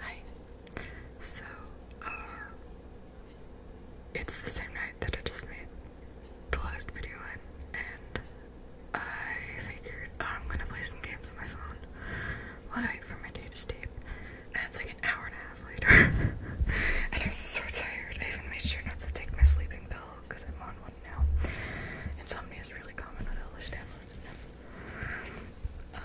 Hi. So, uh, it's the same night that I just made the last video and I figured oh, I'm gonna play some games on my phone wait for my data tape. And it's like an hour and a half later, and I'm so tired. I even made sure not to take my sleeping pill because I'm on one now. Insomnia is really common with Elder Stanless. Um,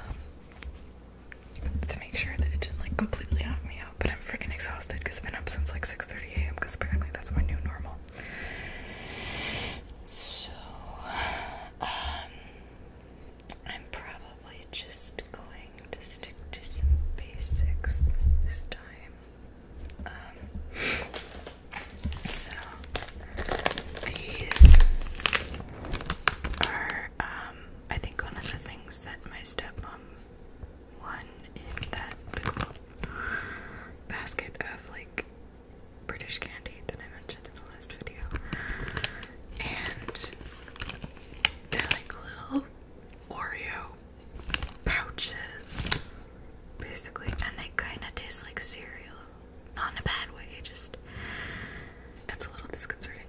to make sure that it didn't like completely knock me out. But I'm freaking exhausted because I've been up since like 6:30 a.m. because apparently that's my new normal. So, um, I'm probably just going to stick to some basics this time. Um, so these are, um, I think, one of the things that my stepmom won in that basket of like British candy that I mentioned in the last video. And they're like little Oreo pouches, basically, and they kind of taste like cereal not in a bad way, just it's a little disconcerting.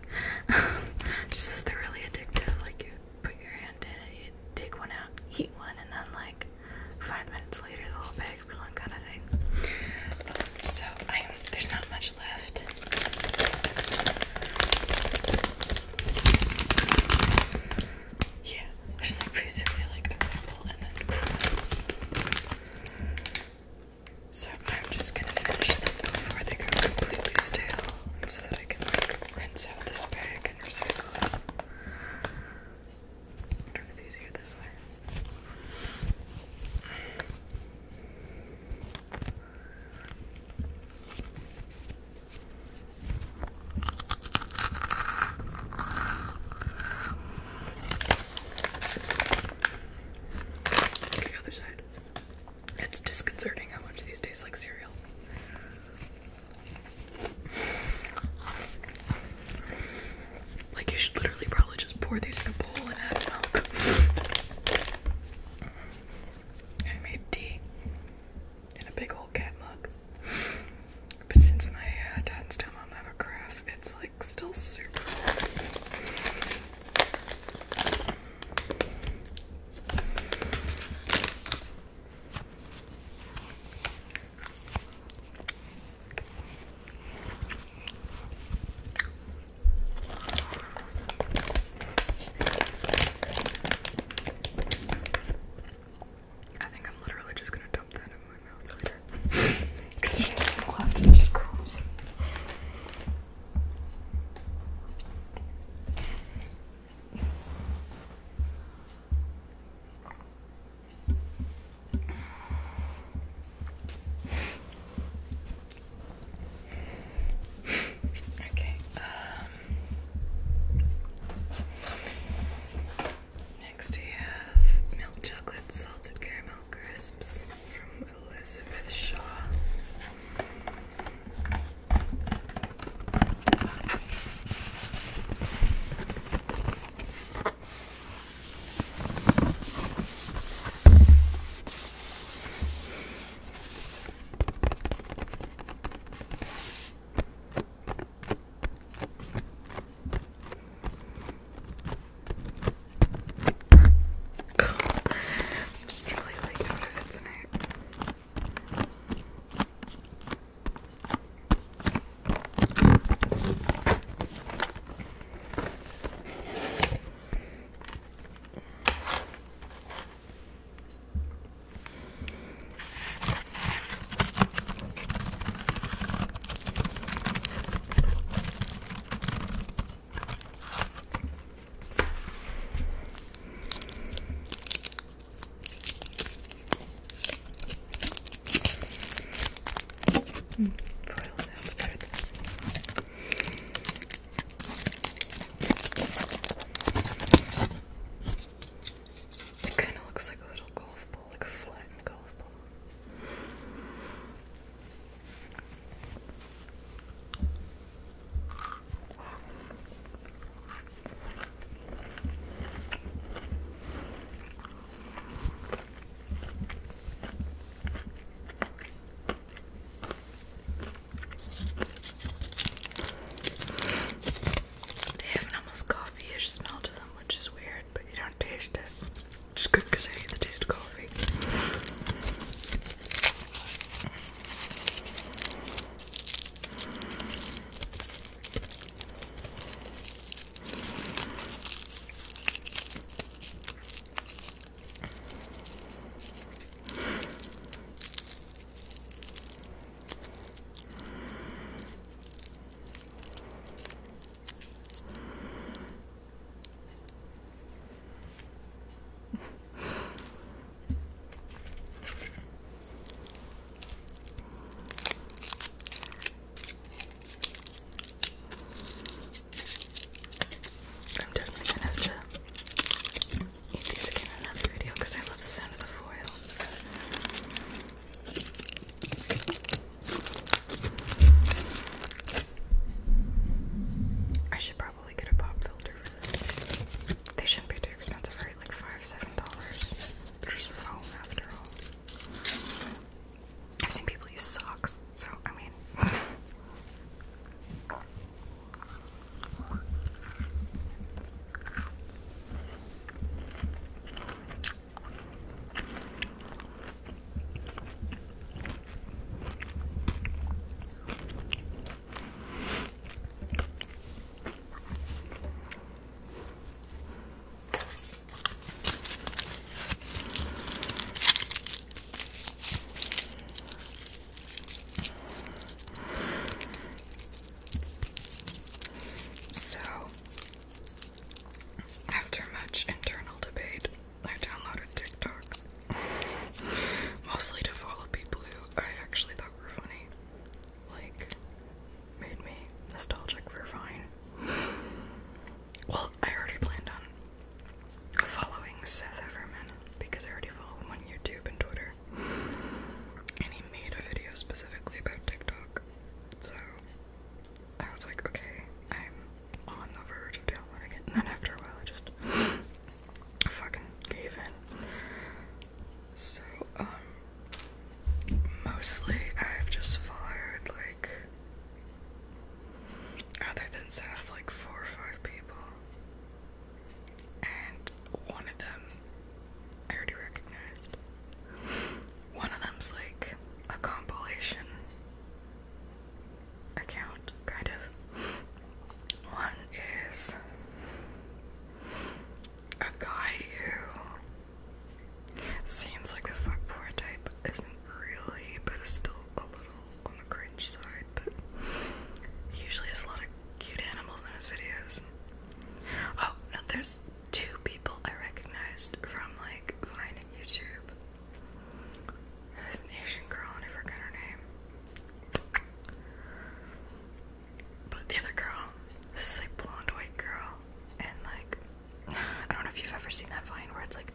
just they're really addictive, like you put your hand in and you take one out, eat one, and then like five minutes later the whole bag's gone kind of thing. so there's not much left. Yeah, there's like basically like a couple and then crumbs. So I'm just gonna finish them before they go completely stale, so that I can rinse out this bag and recycle it. easier this way. Okay, other side. It's disconcerting how much these taste like cereal. Like you should literally probably just pour these in a bowl and add milk. I made tea in a big old cat mug. But since my uh, dad's still have a craft, it's like still super I think I'm literally just going to dump that because there's nothing left, it's just crumbs. okay, um, next we have milk chocolate salted caramel crisps from Elizabeth Shaw. I'm just really like how to fit tonight foil sounds good. It kind of looks like a little golf ball, like a flattened golf ball. They have an almost coffee-ish smell to them, which is weird, but you don't taste it. Just good because I hate the taste of coffee. I'm definitely gonna have to eat these again in another video because I love the sound of the foil. I should probably get a pop filter for this. They shouldn't be too expensive, right? Like five, seven dollars. There's foam after all. I've seen people use socks, so I mean. So, after much internal debate, I downloaded TikTok mostly to follow people who I actually thought were funny, like made me nostalgic for Vine. Well, I already planned on following Seth Everman because I already follow him on YouTube and Twitter, and he made a video specifically about TikTok. So I was like, okay, I'm on the verge of downloading it, and then after a while I just fucking gave in. So, um, mostly I've just fired like, other than Seth, like four or five people. And one of them I already recognized. One of them's like a compilation account, kind of. One is a guy who seems like the fuckboy type, isn't really, but is still a little on the cringe side, but usually has a lot of cute animals in his videos. Oh, no, there's two people I recognized from like Vine and YouTube. This Asian girl, and I forget her name. But the other girl, this is like blonde white girl, and like I don't know if you've ever seen that vine where it's like,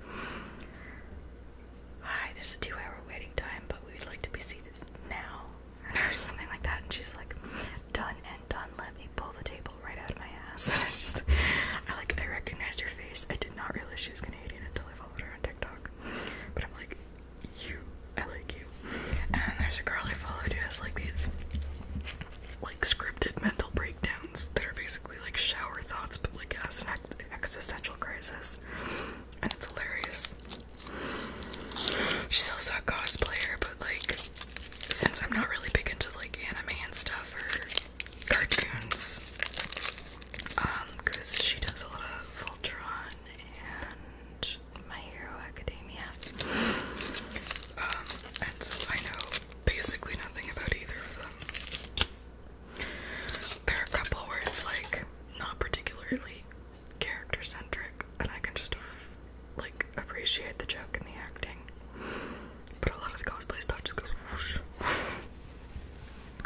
hi, there's a two-hour waiting time, but we'd like to be seated now, or something like that. And she's like, done and done. Let me pull the table right out of my ass. And I just, I like, I recognized her face. I did not realize she was Canadian until only followed her on TikTok. But I'm like, you, I like you. And there's a girl I followed who has like these like scripted mental breakdowns that are basically like shower thoughts, but like as an existential crisis, and it's hilarious. She's also a cosplayer, but like since I'm not really big into like anime and stuff or cartoons. Um, because she does a lot of Voltron and My Hero Academia. Um, and I know basically nothing about either of them, there are a couple where it's like not particularly character centric, and I can just like appreciate the joke and the acting. But a lot of the cosplay stuff just goes whoosh.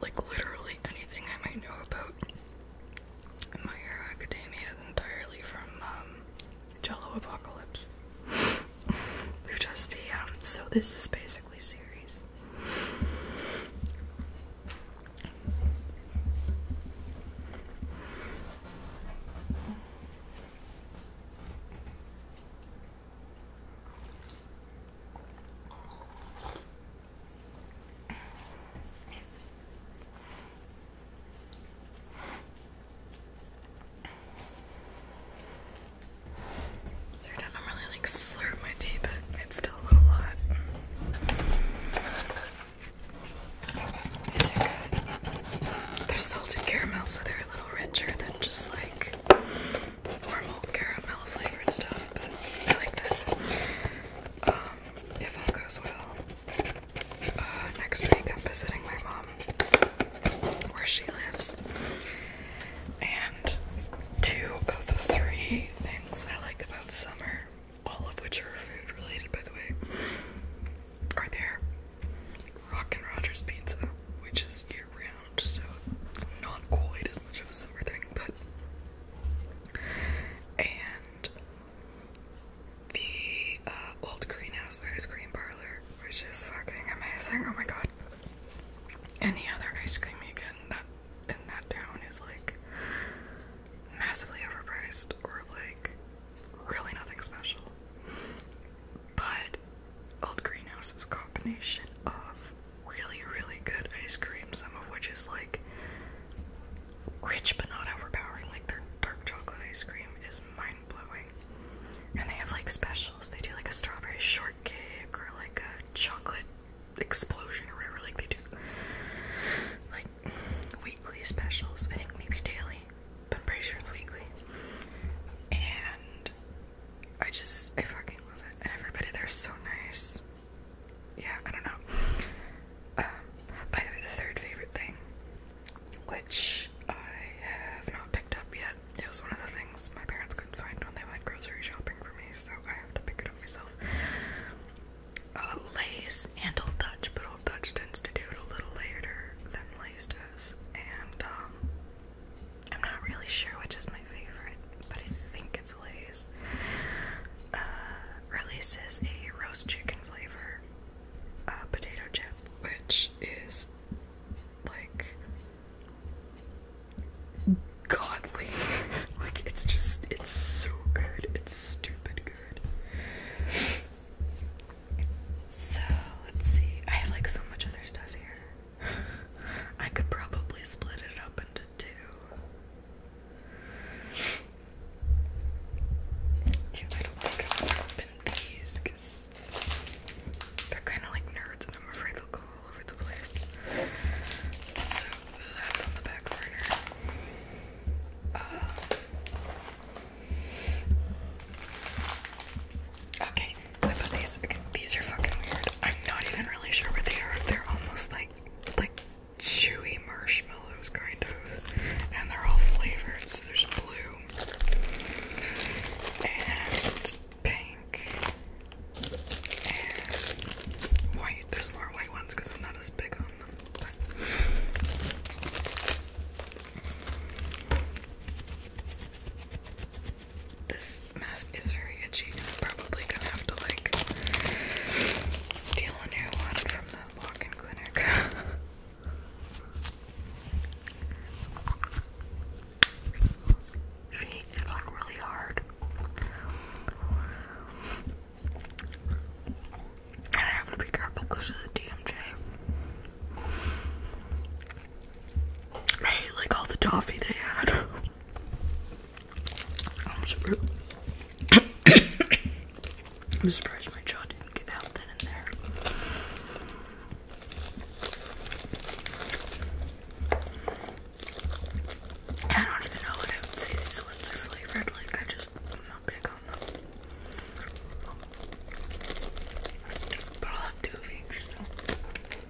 Like literally anything I might know about My Hero Academia is entirely from um, Jello Apocalypse. They're just um, so this is basically series. Sorry, I don't really like slurp my tea, but it's still a little hot. These are good. They're salted caramel, so they're a little richer than just like normal caramel flavored stuff, but I like that. Um, if all goes well, uh, next week I'm visiting my mom where she lives. And two of the three things I like about summer, all of which are food related by the way, are there. Rock and Rogers Pizza, which is year round so it's not quite as much of a summer thing, but. And the uh, old greenhouse ice cream parlor, which is fucking amazing. Oh my god. Any other ice cream you get in that town is like massively overpriced or like really nothing special. But Old Greenhouse is a combination of really, really good ice cream, some of which is like rich but not overpowering. Like their dark chocolate ice cream is mind blowing. And they have like specials. They do like a strawberry shortcake or like a chocolate explosion or whatever. Like they do like weekly specials. I think maybe daily, but I'm pretty sure it's weekly. And I just, I fucking love it. Everybody, they're so nice. Yeah, I don't know. Um, by the way, the third favorite thing, which I have not picked up yet, it was one of the things my parents couldn't find when they went grocery shopping for me, so I have to pick it up myself. Uh, Lace and Old touch, but Old touch tends to do it a little later than Lace does, and um, I'm not really sure which is my favorite, but I think it's Lay's. Uh, releases a roast chicken flavor uh, potato chip, which is like godly. like it's just, it's so good. It's stupid good. So let's see. I have like so much other stuff here. I could probably split it up into two. I don't think I these because they're kind of like nerds and I'm afraid they'll go all over the place. So that's on the back burner. Uh, okay, I put these. these are fucking weird. I'm not even really sure what they are. They're almost like like chewy marshmallows, kind of, and they're all flavored. there's blue and pink and white. There's more white ones because I'm not as big on them. This mask is very itchy. I'm probably gonna have to like steal a new one from the walk-in clinic. See, it's like really hard. And I have to be careful because of the DMJ. I hate like all the toffee they had. I'm surprised my jaw didn't get out then and there. I don't even know what I would say these ones are flavored, like, I just, I'm not big on them. But I'll have two of each,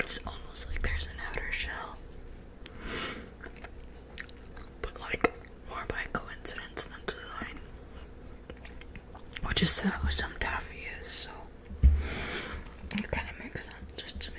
It's almost like there's an outer shell. But like more by coincidence than design. Which is how some taffy is, so it kinda makes sense just to me.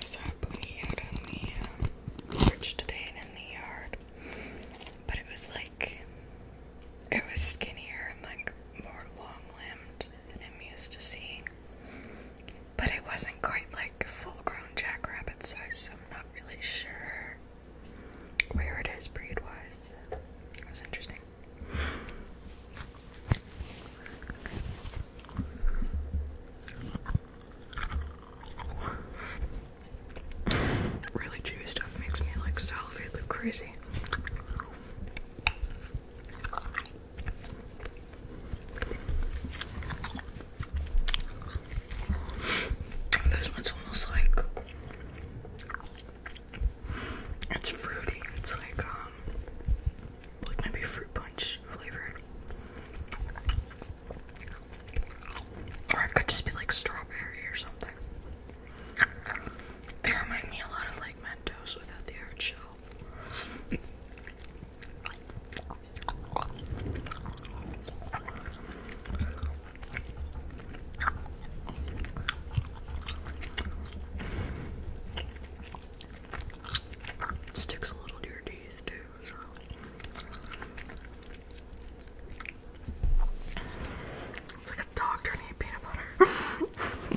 Stop pulling out on the uh, today and in the yard, but it was like it was skinnier and like more long long than I'm used to seeing. But it wasn't quite like a full-grown jackrabbit size, so I'm not really sure where it is breed-wise. It was interesting. Really chewy stuff makes me like salivate crazy. This one's almost like it's fruity. It's like um, like maybe fruit punch flavored, or it could just be like strawberry or something. They remind me a lot of like Mentos without the hard shell. sticks a little to your teeth too, so. It's like a dog trying to eat peanut butter.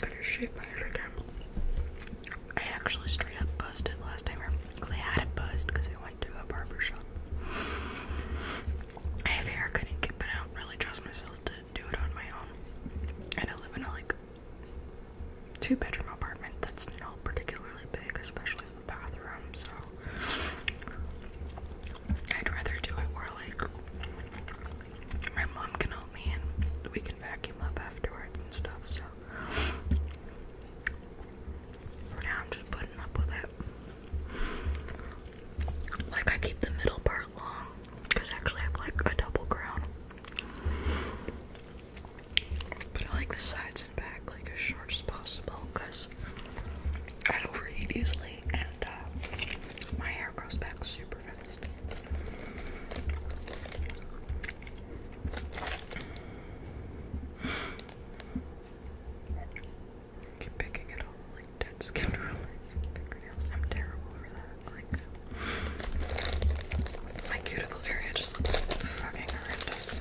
Got your shit every time. I actually straight up busted last time, because I had it buzzed because I went to a barber shop. I hair, couldn't keep it out. Really trust myself to do it on my own, and I live in a like two-bedroom apartment that's not particularly big, especially the bathroom. So I'd rather do it where like my mom can help me and we can vacuum up afterwards and stuff, so for now I'm just putting up with it. Like I keep the middle part long because actually I actually have like a double crown. But I like the sides and back like as short as possible because I'd overeat easily and uh, my hair grows back super fast. keep picking it all like dead skin I'm terrible for that. Like my cuticle area just looks fucking horrendous.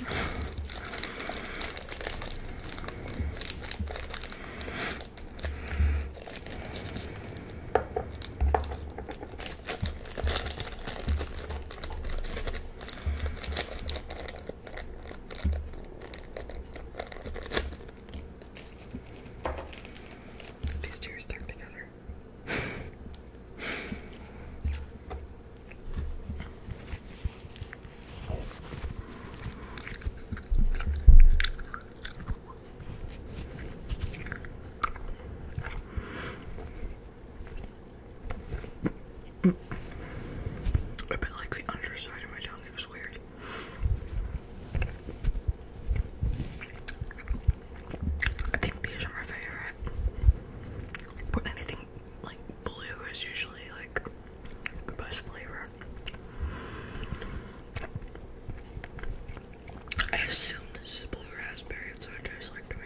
These two are stuck together. I bet like the underside of my tongue it was weird. I think these are my favorite. But anything like blue is usually like the best flavor. I assume this is blue raspberry, it's what it tastes like to me.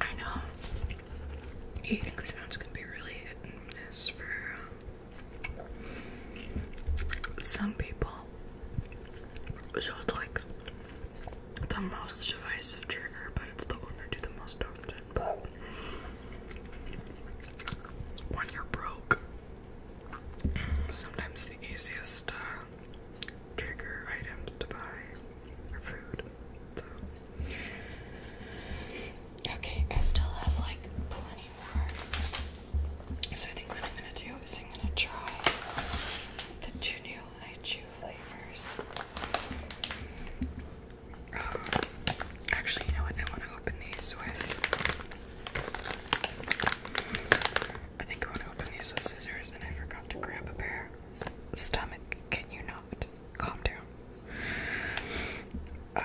I know eating sounds can be really hit and for um, some people it's like the most divisive trigger, but it's the one I do the most often. when you're broke, sometimes the easiest uh, trigger items to buy are food. Okay, I still have like plenty more. So I think what I'm gonna do is I'm gonna try the two new I chew flavors. Um, actually, you know what? I want to open these with. I think I want to open these with scissors, and I forgot to grab a pair. Stomach, can you not? Calm down. Um,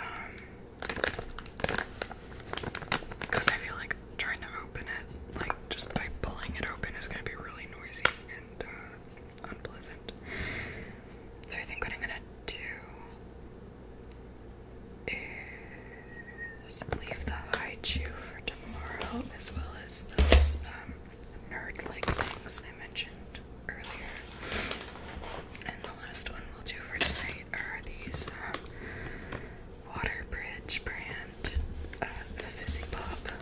because I feel like trying to open it, like just by pulling it open, is going to be really noisy and uh, unpleasant. So I think what I'm going to do is leave the high chew for tomorrow, as well as those um, nerd like things I mentioned earlier. And the last one we'll do for tonight are these um, Waterbridge brand, uh, the Fizzy Pop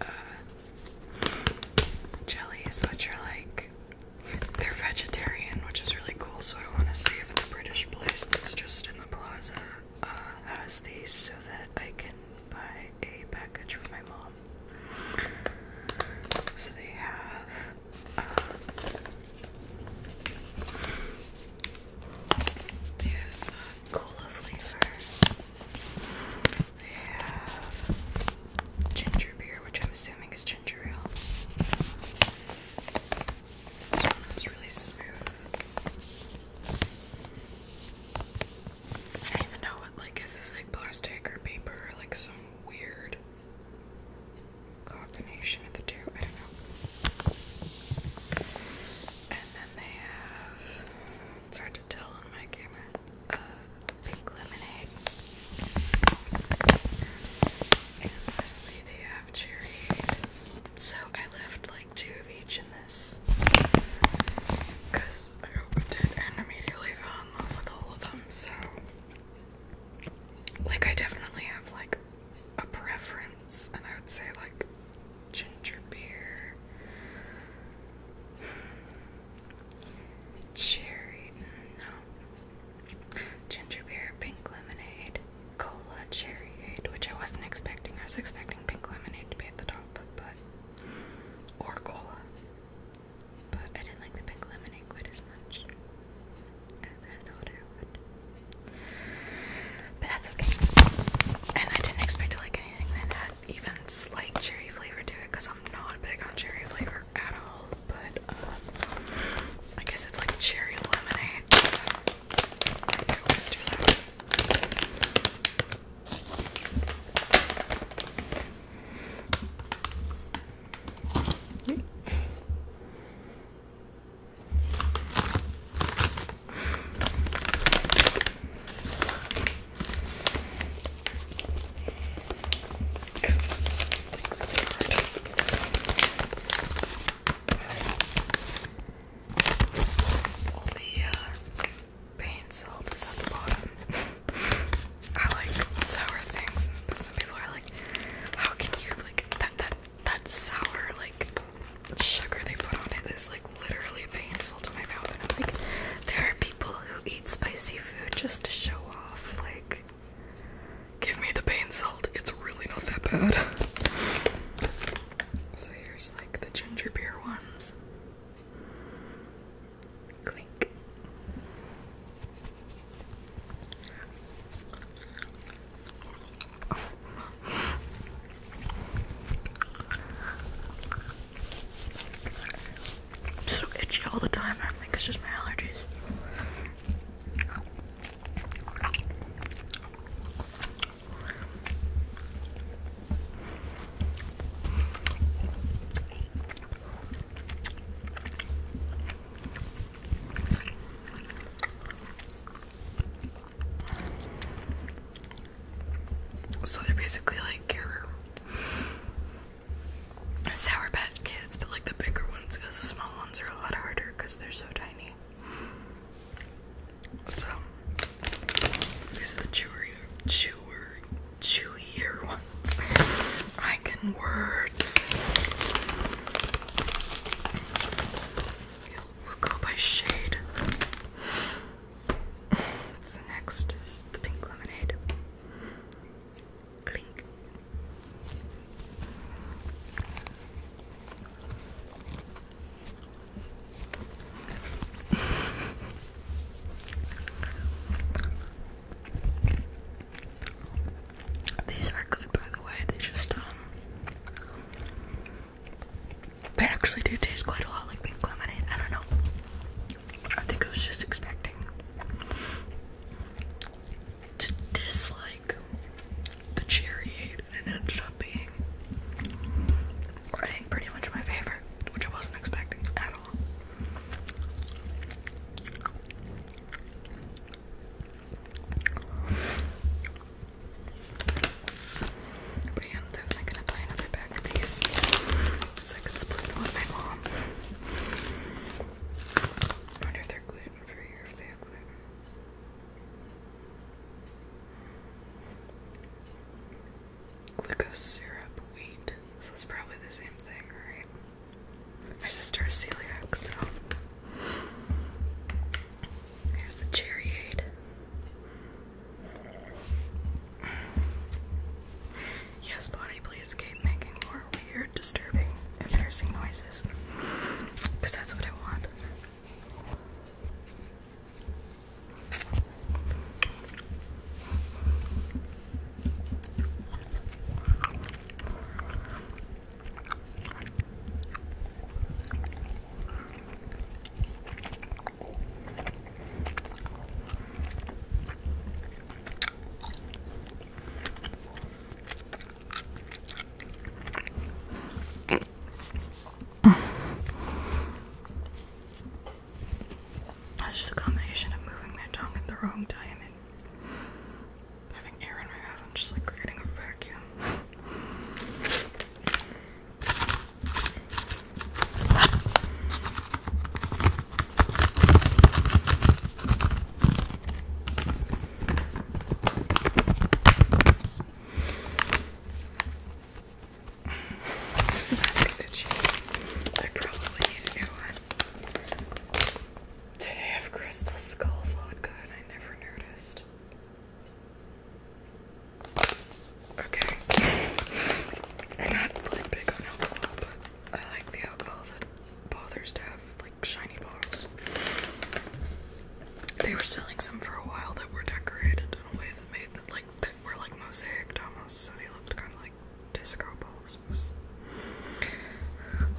uh, jelly. Is what you are like they're vegetarian, which is really cool. So I want to see if the British place that's just in the plaza uh, has these, so that I can buy a package for my mom. So they have um, they have cola flavor. They have ginger beer, which I'm assuming is ginger ale. This one is really smooth. I don't even know what like is this like plastic or paper or like some weird combination of the two. I don't know. And then they have it's hard to tell on my camera. Uh, pink lemonade. And lastly, they have cherry. So I left like two of each in this because I opened it and immediately fell in with all of them. So. Like, I definitely have like a preference, and I would say like ginger beer, cherry, no, ginger beer, pink lemonade, cola, cherryade, which I wasn't expecting. I was expecting pink lemonade to be at the top, but or cola. But I didn't like the pink lemonade quite as much as I thought I would. But that's okay. And I didn't expect to like anything that had even slight cherry flavor to it because I'm not big on cherry flavor at all. But um, I guess it's like cherry lemonade. So I wasn't too loud. All the uh, is at the bottom. I like sour things, but some people are like, how can you like that that that sour like sugar they put on it is like literally painful to my mouth and I'm like there are people who eat spicy food just to show off like give me the pain salt, it's really not that bad. So here's like the ginger beer ones. Clink. It's so itchy all the time. I think it's just my allergies. So they're basically like your Sour Patch Kids, but like the bigger ones because the small ones are a lot harder because they're so tiny. So these the chewier, chewier, chewier ones. I can words. We'll go by shade. So next is the pink lemonade. Clink. These are good, by the way. They just, um, they actually do taste quite a lot like pink lemonade. I don't know. I think I was just expecting to dislike the cherry aid, and it ended up being, I think, pretty much my favorite, which I wasn't expecting at all. But I'm definitely gonna buy another bag of these so I can split with my mom. wonder if they're gluten free or if they have gluten. Glucose syrup, wheat. So it's probably the same thing, right? My sister is celiac, so here's the cherry Yes, body, please keep making more weird, disturbing, embarrassing noises. that's what I want. That's just a combination of moving my tongue in the wrong time having air in my mouth, I'm just like creating a vacuum. This mask is itchy. I probably need they have Crystal Skull vodka, and I never noticed. Okay. I'm not really big on alcohol, but I like the alcohol that bothers to have like shiny bottles. They were selling some for a while that were decorated in a way that made them like that were like mosaic almost, so they looked kind of like disco balls.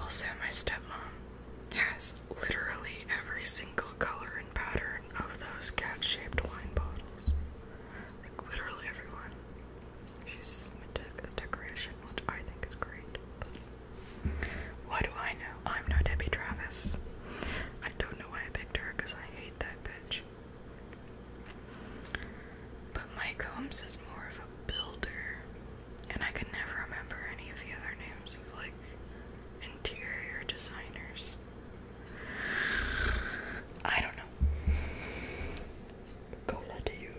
Also, my stepmom has literally every single color and pattern of those cat shaped wine bottles. Like, literally everyone. She uses them as decoration, which I think is great. what do I know? I'm no Debbie Travis. I don't know why I picked her because I hate that bitch. But Mike Holmes is more of a builder and I could never remember any of the other names of like interior designers. I don't know. Cola to you.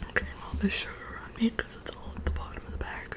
I'm getting all this sugar on me because it's all at the bottom of the bag.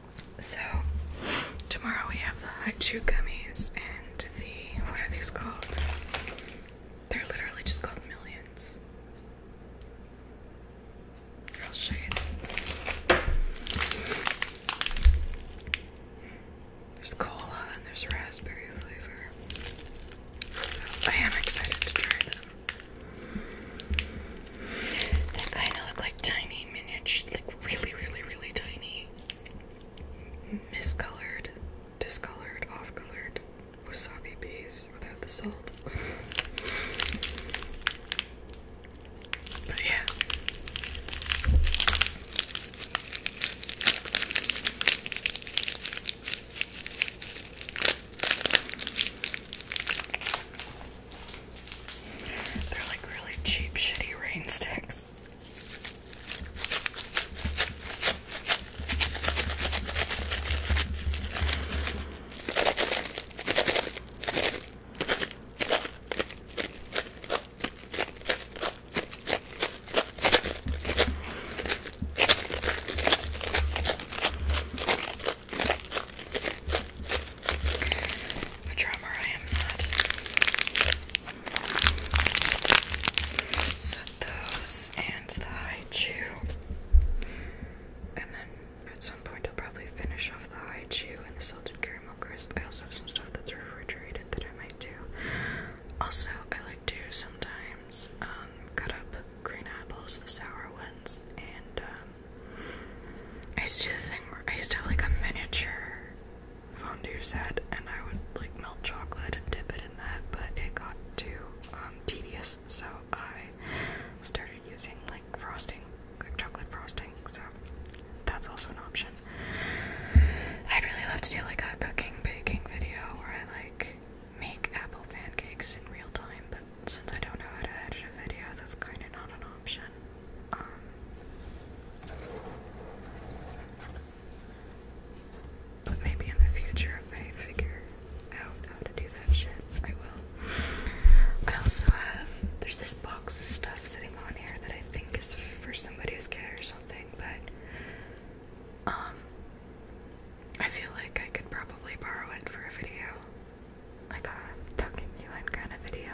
So tomorrow we have the hot chew gummies and the what are these called? They're literally just called millions. I'll There's cola and there's raspberry flavor. So I am excited to try them. They kind of look like tiny miniature like really, really, really tiny, miscolored, discolored, off-colored wasabi peas without the salt. But yeah. They're like really cheap, shitty rain sticks. A drummer, I am not. So those and the high chew, And then at some point I'll probably finish off the high chew and the salted caramel crisp. I also have some stuff that's refrigerated that I might do. Also, I like to sometimes um, cut up green apples, the sour ones, and um, I used to do I used to have like a miniature fondue set, and I would like melt chocolate and dip it in that, but it got too um, tedious, so I started using like frosting, like chocolate frosting. So that's also an option. I'd really love to do like a cooking baking video where I like make apple pancakes in real time, but since I don't know how to edit a video, that's kind of not an option. Um, but maybe in the future, if I figure out how to do that shit, I will. I also have, there's this box of stuff sitting on here that I think is for somebody's kid or something, but um, I feel like I could probably borrow it for a video. Like a tucking you in kind of video.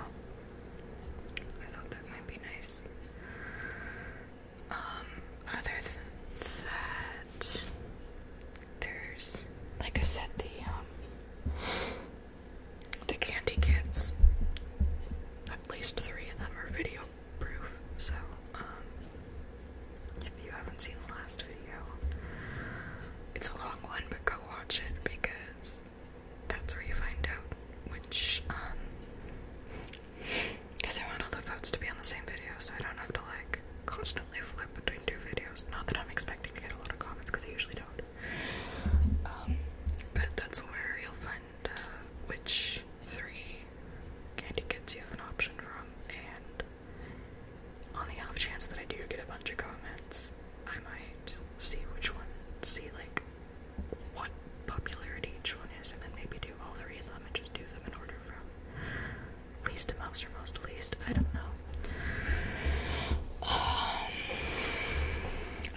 I thought that might be nice. Um, other than that, there's, like I said, the, um, the candy kits. At least three of them are video proof, so, um, if you haven't seen the last video, it's a long one, but go watch it because that's where you find out which, um, because I want all the votes to be on the same video so I don't have to like constantly flip between two videos. Not that I'm expecting to get a lot of comments because I usually don't. Um, but that's where you'll find uh, which three candy kits you have an option from, and on the off chance that I do get a bunch of comments, I might see which one, see like what popularity each one is, and then maybe do all three of them and just do them in order from least to most or most to least. I don't know. Um,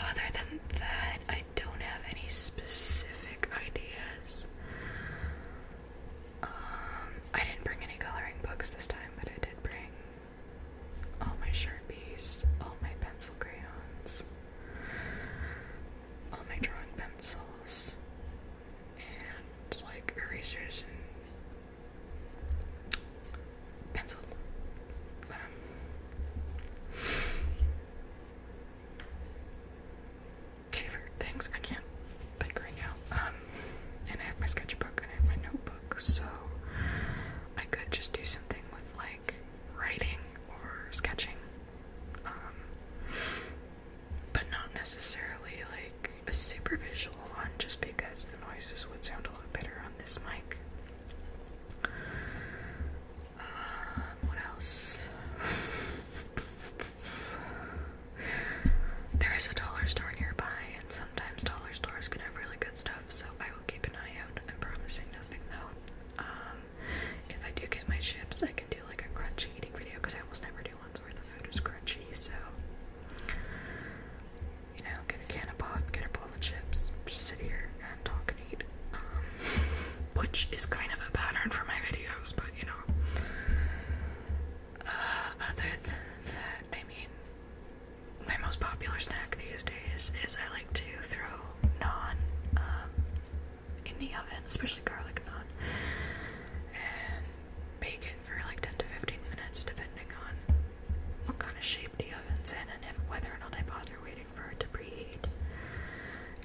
other than that, I don't have any specific ideas. Um, I didn't bring any coloring books this time, but I did bring all my sharpies, all my pencil crayons, all my drawing pencils and like erasers and pencil. Um, favorite things I can't think right now. Um, and I have my sketchbook and I have my notebook, so I could just do something with like writing or sketching, um, but not necessarily like a super visual one just because the noises would sound a lot better on this mic. Um, what else? there is a dollar store nearby, and sometimes dollar stores can have really good stuff, so I will keep an eye out. I'm promising nothing though. Um, if I do get my chips, I can do like a crunchy eating video because I almost never do ones where the food is crunchy. So, you know, get a can of pop, get a bowl of chips, just sit here and talk and eat. Um, which is kind of a pattern for my videos, but you know. Uh, other than that, I mean, my most popular snack these days is I to throw naan um, in the oven, especially garlic naan, and bacon for like 10 to 15 minutes, depending on what kind of shape the oven's in and if, whether or not I bother waiting for it to preheat.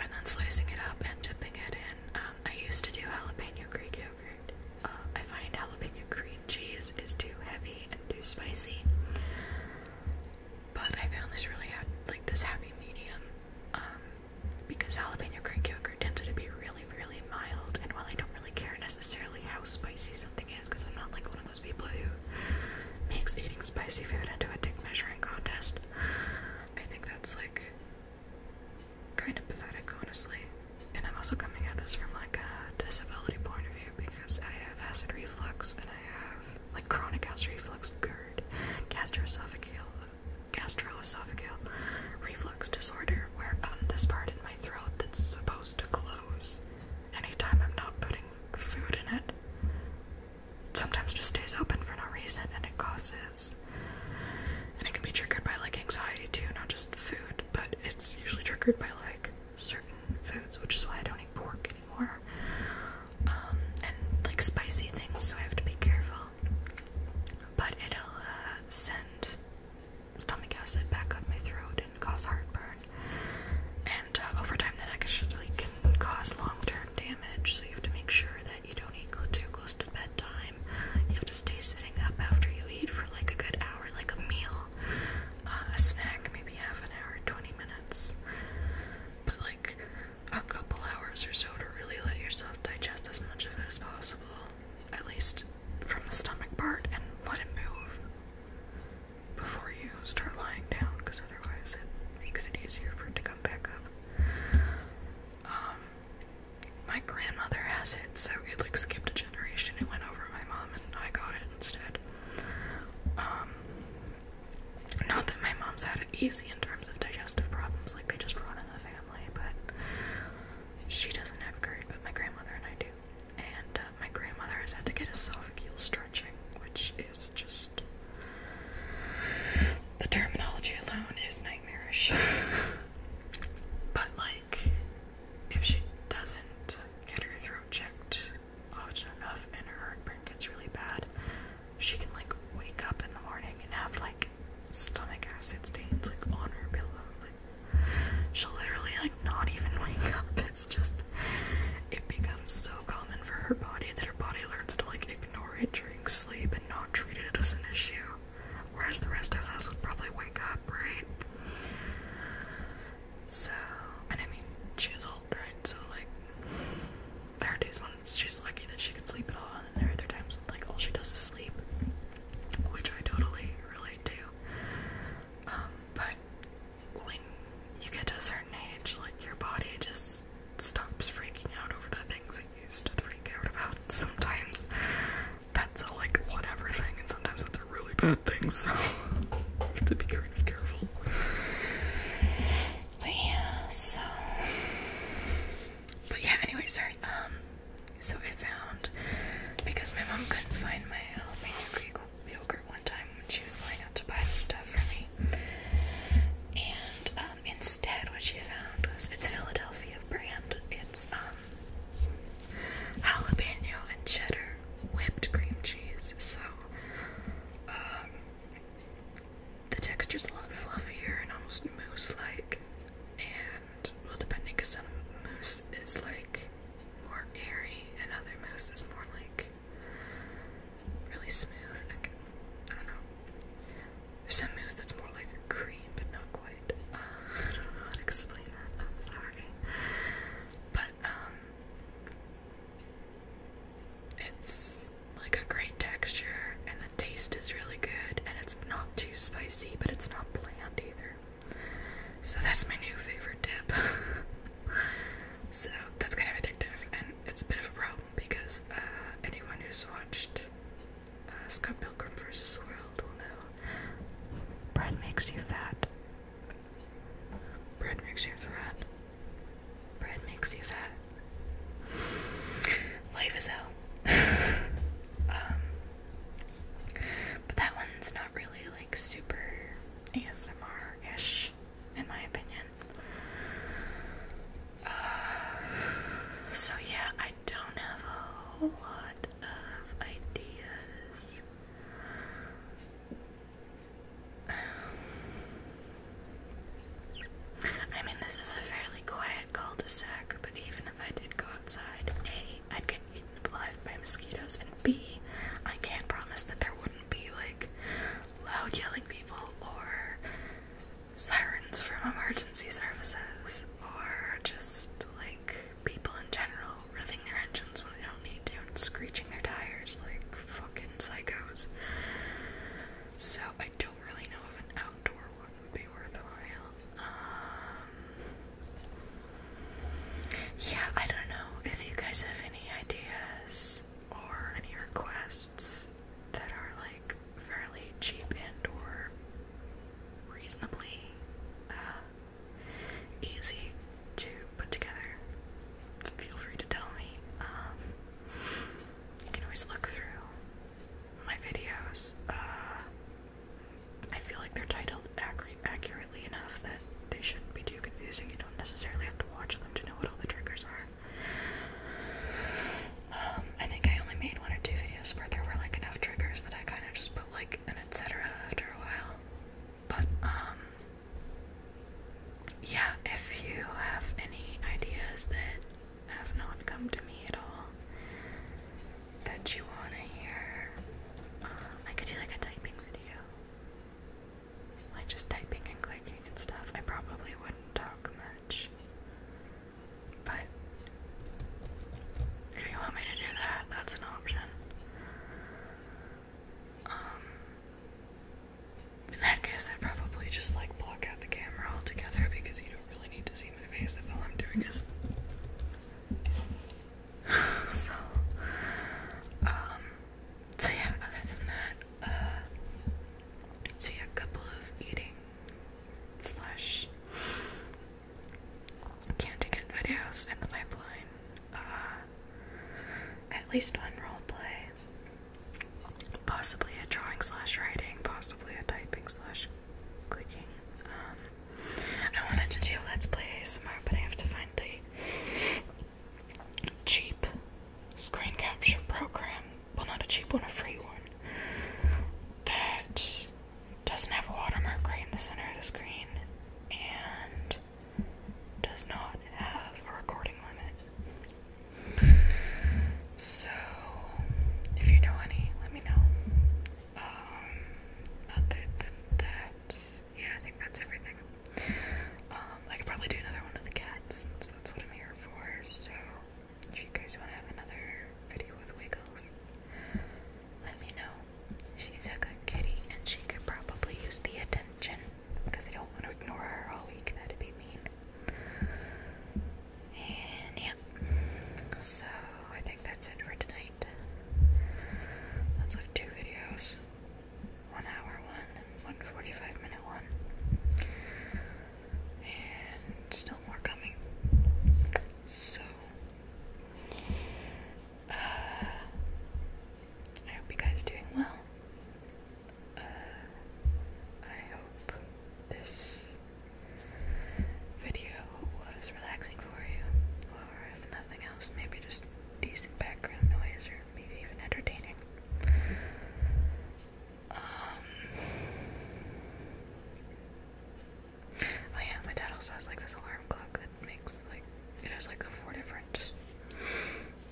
And then slicing it up and dipping it in. Um, I used to do jalapeno Greek yogurt. Uh, I find jalapeno cream cheese is too heavy and too spicy. But I found this really ha like this happy medium um, because jalapeno Greek yogurt tends to be really, really mild. And while I don't really care necessarily how spicy something is, because I'm not like one of those people who makes eating spicy food into a dick measuring contest, I think that's like kind of pathetic, honestly. And I'm also coming at this from like a disability point of view because I have acid reflux and I have like chronic acid reflux, GERD, gastroesophageal, gastroesophageal reflux disorder, where um, this part in my throat that's supposed to close anytime I'm not putting food in it sometimes just stays open for no reason and it causes and it can be triggered by like anxiety too not just food but it's usually triggered by like certain foods which is why i don't eat pork work um, and like spicy things, so I have to be careful. But it'll uh, send stomach acid back up my throat and cause heartburn. And uh, over time, that actually can cause long term damage, so you have to make sure that you don't eat too close to bedtime. You have to stay sitting up after you eat for like a good hour, like a meal, uh, a snack, maybe half an hour, 20 minutes but like a couple hours or so to really let yourself digest as much of it as possible, at least from the stomach part, and let it move before you start lying down, because otherwise it makes it easier for it to come back up. Um, my grandmother has it, so it like skipped a generation. It went over my mom, and I got it instead. Um, not that my mom's had it easy in terms of digestive problems, like they just run in the family, but she doesn't have GERD, but my grandmother and I do. And uh, my grandmother has had to get esophageal stretching, which is just. The terminology alone is nightmarish. but, like, if she doesn't get her throat checked, often oh, enough and her heartburn gets really bad, she can like wake up in the morning and have like stomach acid stains like on her pillow. Like she'll literally like not even wake up. It's just it becomes so common for her body that her body learns to like ignore it during sleep and not treat it as an issue. Whereas the rest of us would probably wake up, right? So, and I mean, she old, right? So, like, there are days when she's lucky that she can sleep at all, and then there are other times when, like all she does is sleep, which I totally relate to. Um, but when you get to a certain age, like your body just stops freaking out over the things it used to freak out about. Sometimes that's a like whatever thing, and sometimes that's a really bad thing. So to be kind of careful yeah, so but yeah, anyway, sorry. Um so I found because my mom couldn't find my Albanian uh, Greek yogurt one time when she was going out to buy the stuff for me. And um instead what she found was it's Philadelphia brand. It's um jalapeno and cheddar whipped cream cheese. So um the texture is a lot fluffier and almost mousse-like, and well, depending, because some mousse is like more airy and other mousse is more like really smooth. Like, I don't know. There's some mousse that's more like a cream, but not quite. I don't know how to explain that. I'm sorry, but um, it's like a great texture, and the taste is really good, and it's not too spicy, but it's not bland either. So that's my new favorite dip. so that's kind of addictive, and it's a bit of a problem because uh, anyone who's watched uh, Scott Pilgrim vs. the World will know bread makes you fat. Bread makes you fat. Bread makes you fat. Life is hell. um, but that one's not really like super ASMR ish, in my opinion. Uh, so, yeah, I don't have a whole lot of ideas. I mean, this is a fairly quiet cul-de-sac, but even if I did go outside, A, I'd get eaten alive by mosquitoes, and B, I can't promise that there wouldn't be, like, loud yelling people or sirens from emergency services or just, like, people in general revving their engines when they don't need to and screeching their tires like fucking psychos. So I don't really know if an outdoor one would be worthwhile. Um, yeah, I don't know if you guys have any ideas or any requests that are like fairly cheap and or reasonably uh, easy to put together. Feel free to tell me. Um, you can always look through my videos. Uh, I feel like they're titled accurately enough that they shouldn't be too confusing. You don't necessarily have to watch them to know what all the triggers are. Um, I think I only made one or two videos where there were like enough triggers that I kind of just put like an etc. after a while. But um, yeah, if you have any ideas that have not come to me at all that you want to hear, um, I could do like a typing video. Like just typing and clicking and stuff. I probably wouldn't talk much. But if you want me to do that, that's an option. Um, in that case, I'd probably just like block out the camera altogether because you don't really need to see my face if all I'm doing is. so, um, so yeah, other than that, uh, so yeah, a couple of eating slash can videos in the pipeline. Uh, at least one role play possibly a drawing slash writing, possibly a typing slash clicking. Um, I wanted to do Let's Play ASMR, but I have to find a cheap screen capture program. Well, not a cheap one, a free one that doesn't have a watermark right in the center of the screen and does not have a recording limit. So, if you know any, let me know. Um, other than that, yeah, I think that's everything. Um, I could probably do another one of the cats that's what I'm here for. So, if you guys want another video with Wiggles, let me know. She's a good kitty and she could probably use the attention because I don't want to ignore her all week. That'd be mean. And yeah. So I think that's it for tonight. That's like two videos. One hour one one forty five minute one. And still more coming. So uh, I hope you guys are doing well. I hope this video was relaxing for you, or if nothing else, maybe just decent background noise, or maybe even entertaining. Um, oh yeah, my dad also has like this alarm clock that makes like it has like four different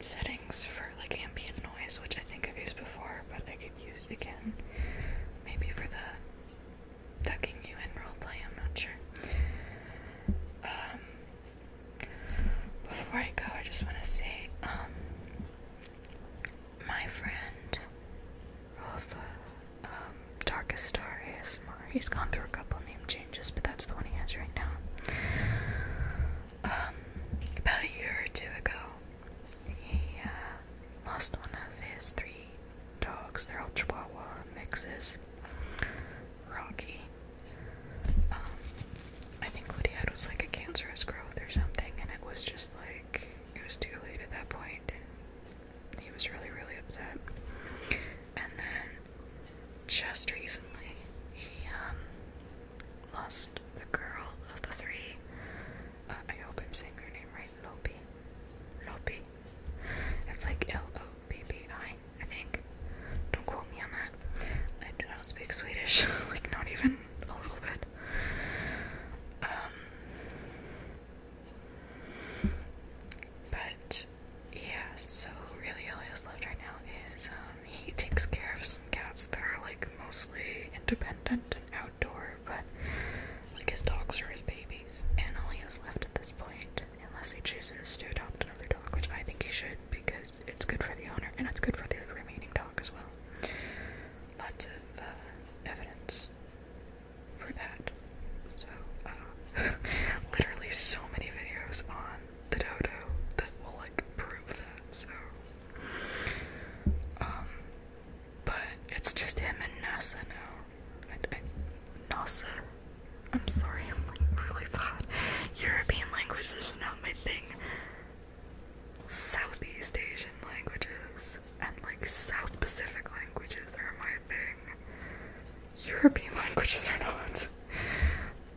settings for like ambient noise, which I think I've used before, but I used again. Maybe for the tucking you in roleplay, I'm not sure. Um, before I go, I just want to say, um, my friend of um, Darkest Star ASMR, he's gone through a couple name changes, but that's the one he has right now. Um, about a year or two ago, he uh, lost one of his three dogs. They're all Chihuahua mixes. Rocky. Um, I think what he had was like a cancerous growth or something, and it was just like it was too late at that point. And he was really, really upset. And then just recently, he um, lost the girl of the three. I hope I'm saying her name right, Lopi. Lopi. It's like L-O-P-P-I, I think. Don't quote me on that. I do not speak Swedish, like not even a little bit. Um, but yeah, so really all left right now is um, he takes care of some cats that are like mostly independent and outdoor, but like his dogs are his babies. Annalie is left at this point, unless he chooses to adopt another dog, which I think he should because it's good for the owner and it's good for the remaining dog as well. Lots of uh, evidence for that. So, uh, literally so many videos on the dodo that will like prove that. So, um, but it's just him and NASA now. NASA. I'm sorry, I'm like really bad. European languages are not my thing. Southeast Asian languages and like South Pacific languages are my thing. European languages are not.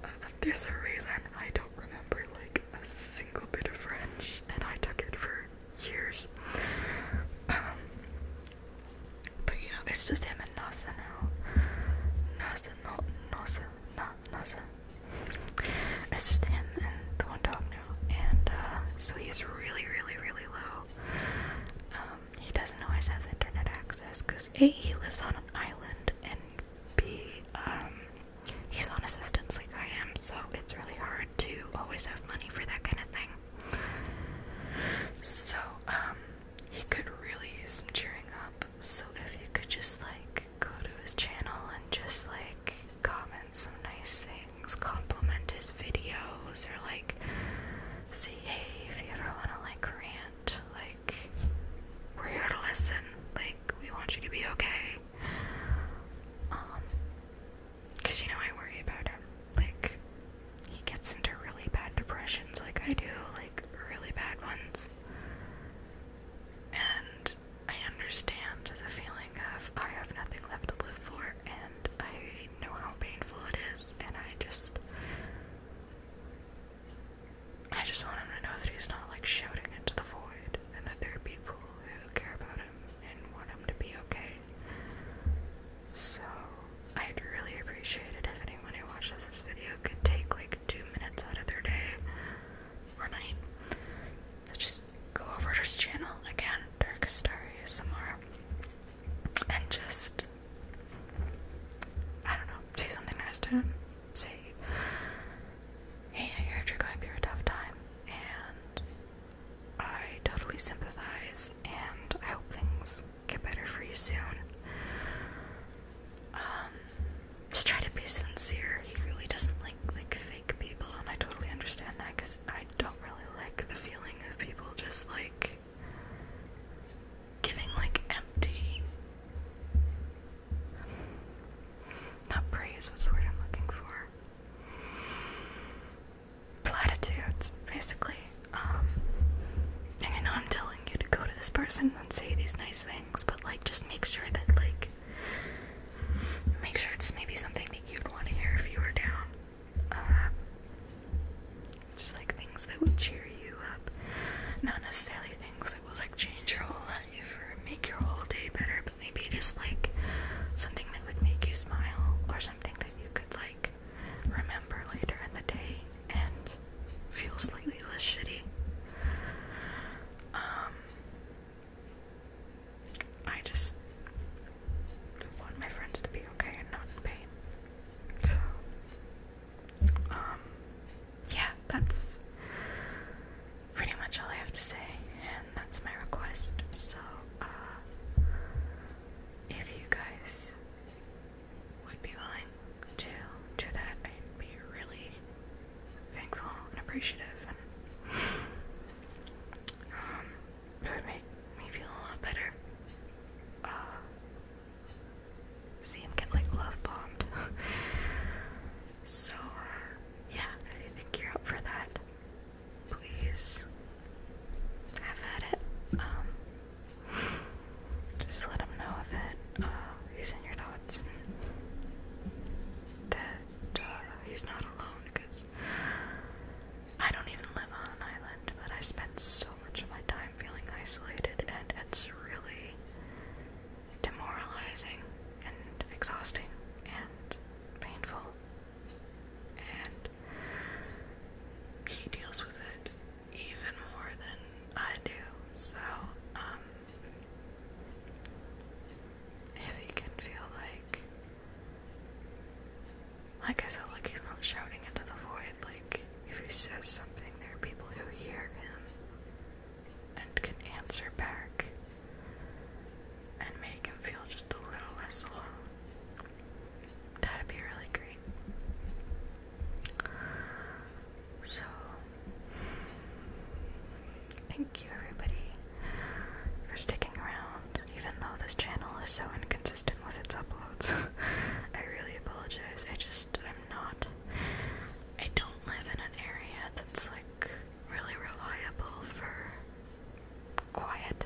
Uh, there's a reason I don't remember like a single bit of French, and I took it for years. Um, but you it's just him and Nasa now. Nasa, not Nasa, not Nasa. It's just him and the one dog now, and uh, so he's really, really, really low. Um, he doesn't always have internet access because A, he lives on an island, and B, um, he's on assistance like I am, so it's really hard to always have money for that kind of thing. So, um, he could really use some cheering up. So, if he could just like go to his channel and just like comment some nice things, compliment his videos, or like say, hey, if you ever want to like rant, like we're here to listen, like we want you to be okay. Um, because, you know, I worry about him. Like, he gets into really bad depressions, like I do, like really bad ones. And I understand the feeling of I have nothing left to live for, and I know how painful it is, and I just. I just want him to know that he's not like shouting into the void, and that there are people who care about him and want him to be okay. So I'd really appreciate it if anyone who watches this video could take like two minutes out of their day or night to just go over to his channel again, Dark Star and just I don't know, say something nice to him. Say, hey, I heard you're going through a tough time, and I totally sympathize, and I hope things get better for you soon. Um, just try to be sincere. He really doesn't like like fake people, and I totally understand that because I don't really like the feeling of people just like giving like empty. Not praise. What's the I'm looking for? platitudes, basically. Um, I know I'm telling you to go to this person and say these nice things, but like, just make sure that like, make sure it's maybe something that you'd want to hear if you were down. Uh, just like things that would cheer you up, not necessarily things that will like change your whole life or make your whole day better, Maybe just like something that would make you smile or something that you could like remember later in the day and feel slightly less shitty. Um I just want my friends to be okay and not in pain. So um yeah, that's pretty much all I have to say, and that's my request. So, uh, if you guys would be willing to do that, I'd be really thankful and appreciative. And, um, it would make me feel a lot better. Uh, see him get like love bombed. so, uh, yeah, I think you're up for that please have at it. Um, just let them know that uh, he's in your thoughts that uh, he's not alone because I don't even live on an island, but I spend so much of my time feeling isolated, and it's really demoralizing and exhausting and painful and he deals with it even more than I do. So, um, if he can feel like, like I said, like he's not shouting into the void, like if he says something, there are people who hear him and can answer back and make him feel just a little less alone. That'd be really great. So, thank you everybody for sticking around, even though this channel is so inconsistent with its uploads. I really apologize. I just, I'm not, I don't live in an area that's like really reliable for quiet.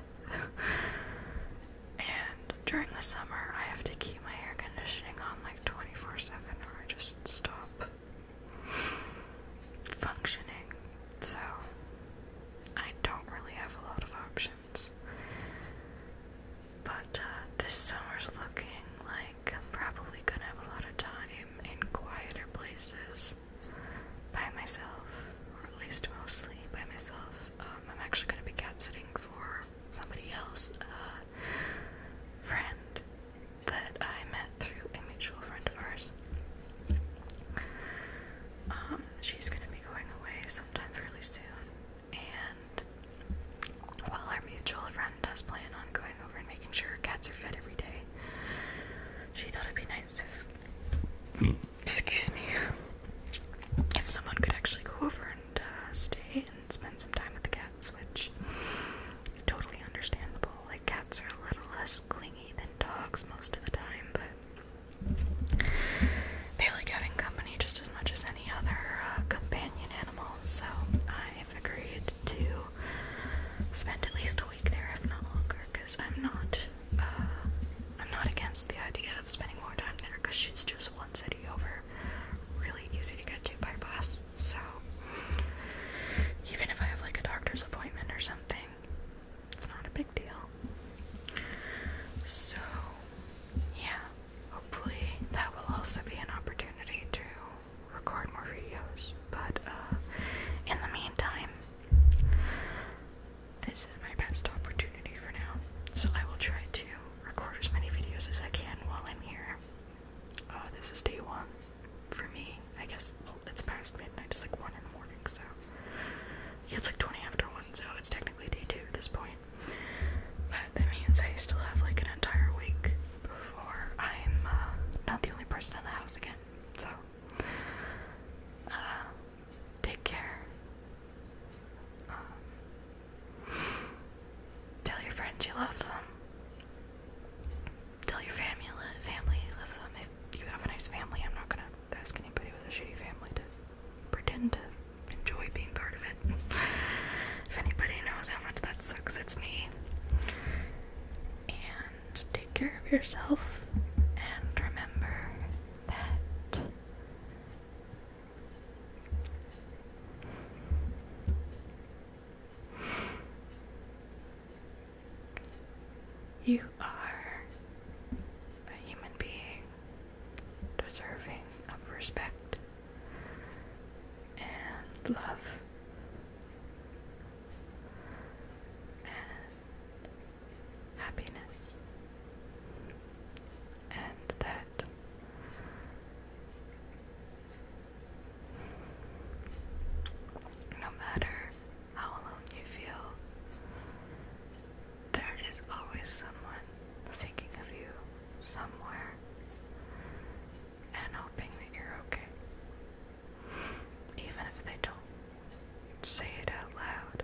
and during the summer, I have to keep my air conditioning on like 24 7 or I just stop functioning. So, I don't really have a lot of options. But uh, this summer's looking like I'm probably gonna have a lot of time in quieter places by myself, or at least mostly by myself. Um, I'm actually going to be cat sitting for somebody else, a friend that I met through a mutual friend of ours. Um, she's going to be going away sometime fairly soon, and while our mutual friend does plan on going over and making sure her cats are fed every day, she thought it'd be nice if Excuse me. If someone could actually go over and uh, stay and spend some time with the cats, which totally understandable. Like cats are a little less clingy than dogs most of the time, but they like having company just as much as any other uh, companion animal. So I've agreed to spend at least a week there, if not longer because I'm not, uh, I'm not against the idea of spending more time there because she's just one city over, really easy to get to by bus. So even if I have like a doctor's appointment or something, it's not a big deal. So yeah, hopefully that will also be an opportunity to record more videos. But uh, in the meantime, this is my best opportunity for now. So I will try to record as many videos as I can while I'm here. Uh, this is day one for me. I guess it's past midnight. It's like one in the morning, so it's like twenty after one. So it's technically day two at this point. But that means I still have like an entire week before I'm uh, not the only person in the house again. So. Uh, Take care. Um, tell your friends you love them. Tell your family, family love them. If you have a nice family, I'm not gonna ask anybody with a shitty family to pretend to enjoy being part of it. if anybody knows how much that sucks, it's me. And take care of yourself and remember that you are a human being deserving of respect and love happiness. And that no matter how alone you feel, there is always someone thinking of you somewhere and hoping that you're okay. Even if they don't say it out loud,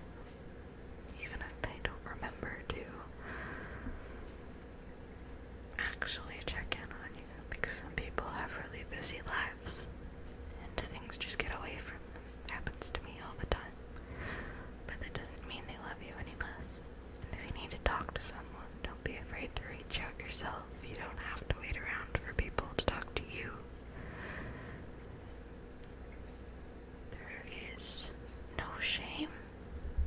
even if they don't remember to actually check in on you, because some people have really busy lives and things just get away from them. Happens to me all the time. But that doesn't mean they love you any less. if you need to talk to someone, don't be afraid to reach out yourself. You don't have to wait around for people to talk to you. There is no shame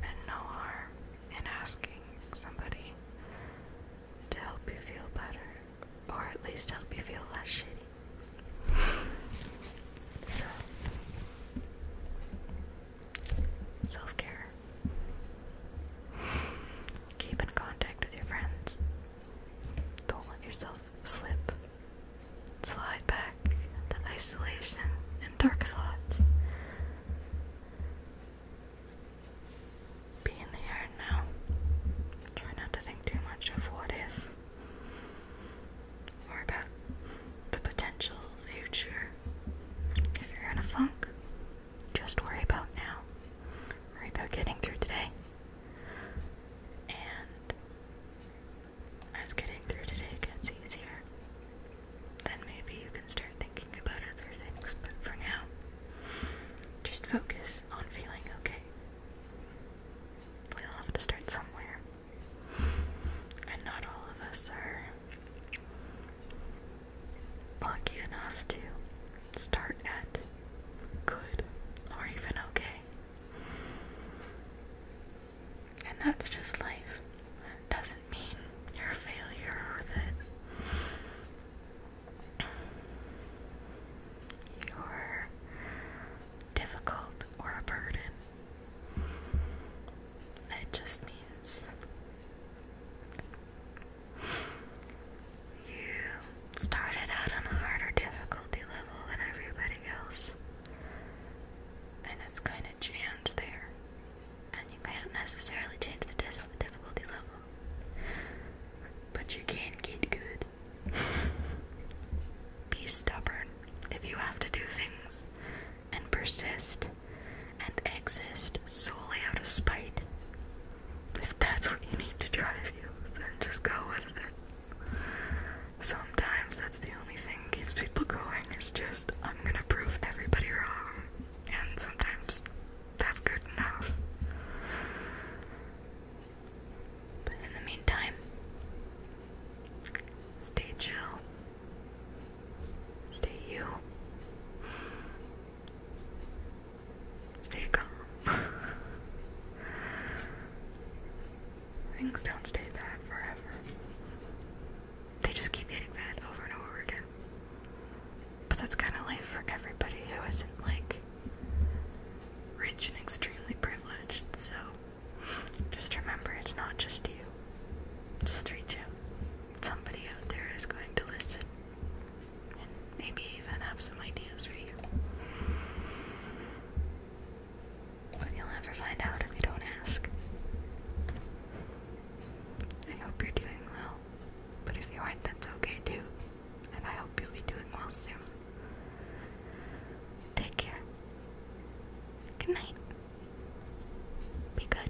and no harm in asking somebody to help you feel better, or at least help you feel less shitty. so, self care. Keep in contact with your friends. Don't let yourself slip, slide back into isolation and dark thoughts. Be in the here and now. Try not to think too much of what if or about the potential future. If you're in a funk, just worry about now. Worry about getting through today. And as getting through today gets easier, then maybe you can start thinking about other things. But for now, just focus on feeling okay. We'll have to start somewhere. And not all of us are lucky enough to start at good or even okay. And that's just life. doesn't mean you're a failure or that you're difficult or a burden. It just means you started out on a harder difficulty level than everybody else. And it's kind of jammed there. And you can't necessarily change the difficulty level. But you can get good. Be stubborn if you have to do things, and persist, and exist solely out of spite. If that's what you need to drive you, then just go with it. Sometimes that's the only thing keeps people going, is just, I'm gonna prove everybody wrong. And sometimes that's good enough. But in the meantime, stay chill, stay you, stay calm. Things don't stay bad forever. They just keep getting bad over and over again. But that's kind of life for everybody who isn't like rich and extremely privileged. So just remember it's not just you. Just reach out. Somebody out there is going to listen and maybe even have some ideas for you. But you'll never find out if you don't ask. I hope you're doing well. But if you aren't, that's okay too. And I hope you'll be doing well soon. Take care. Good night. Be good.